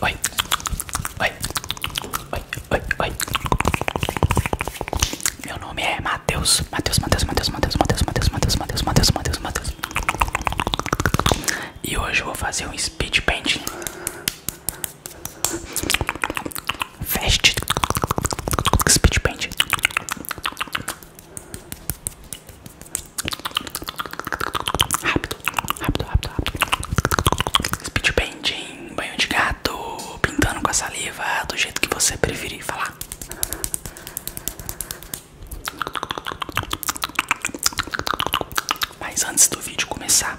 Oi, oi, oi, oi, oi. Meu nome é Matheus. Matheus, Matheus, Matheus, Matheus, Matheus, Matheus, Matheus, Matheus, Matheus, Matheus, Matheus. E hoje eu vou fazer um speed painting. Fast Speed Paint Rápido, rápido, rápido, rápido Speed Painting, banho de gato Pintando com a saliva Do jeito que você preferir falar Mas antes do vídeo começar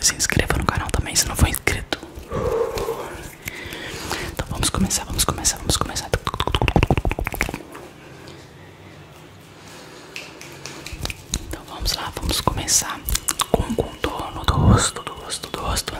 se inscreva no canal também se não for inscrito. Então vamos começar, vamos começar, vamos começar. Então vamos lá, vamos começar com o contorno do rosto, do rosto, do rosto.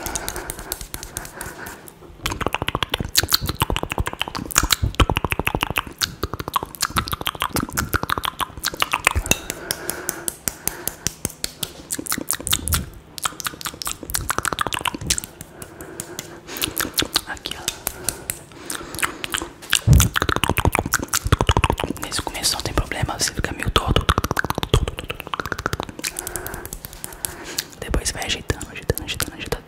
Aqui, ó. Nesse começo não tem problema, você fica meio todo. Depois vai agitando, agitando, agitando, agitando.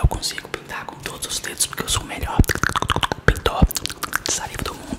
Eu consigo pintar com todos os dedos porque eu sou o melhor pintor de saliva do mundo.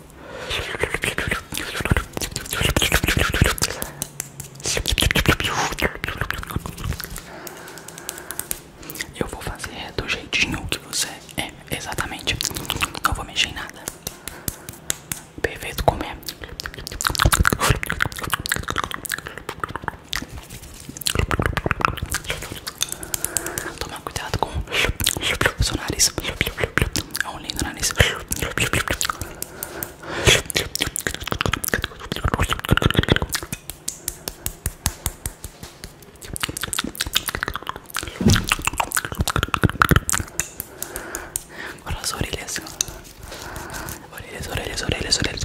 Eu vou fazer do jeitinho que você é, exatamente. Não vou mexer em nada. Perfeito como é. Toma cuidado com o seu nariz. É um lindo nariz. Agora as orelhas. Orelhas, orelhas, orelhas, orelhas.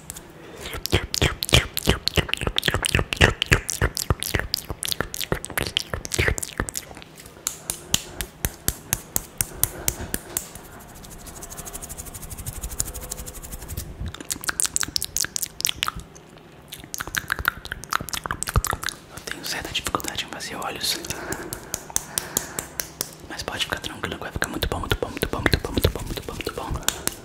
Eu tenho certa dificuldade em fazer olhos, mas pode ficar tranquilo, vai ficar muito bom, muito bom, muito bom, muito bom, muito bom, muito bom, muito bom.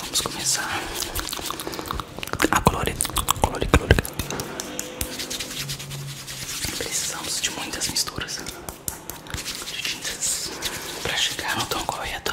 vamos começar a ah, colorir, colorir, colorir. Precisamos de muitas misturas de para chegar no tom correto.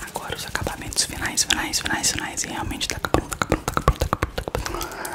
Agora os acabamentos finais, finais, finais, finais. E realmente tá acabando, tá acabando, tá acabando, tá acabando, acabando.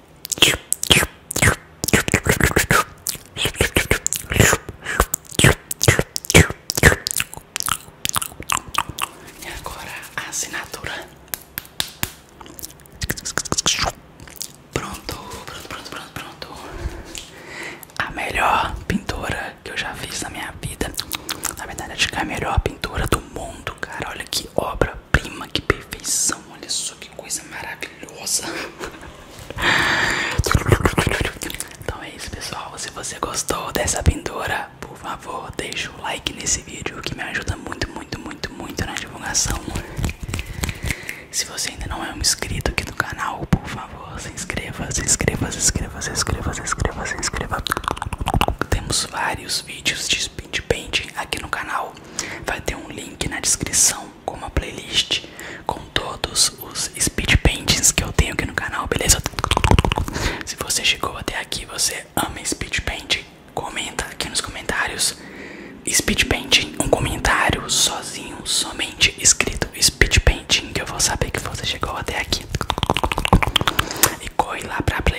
E agora a assinatura. Pronto, pronto, pronto, pronto, pronto. A melhor pintura que eu já fiz na minha vida. Na verdade, acho que é a melhor pintura do mundo, cara. Olha que obra prima, que perfeição, olha só que coisa maravilhosa. Então é isso, pessoal. Se você gostou dessa pintura, por favor, deixa o like nesse vídeo que me ajuda muito, muito, muito, muito na divulgação. Se você ainda não é um inscrito aqui do canal, por favor, se inscreva, se inscreva, se inscreva, se inscreva, se inscreva, se inscreva. Temos vários vídeos de de painting aqui no canal. Vai ter um link na descrição com uma playlist com todos os speed paintings que eu tenho aqui no canal, beleza? Se você chegou até aqui, você ama speed painting, comenta aqui nos comentários. Speed painting, um comentário sozinho, somente escrito speed painting que eu vou saber que você chegou até aqui. E corre lá pra playlist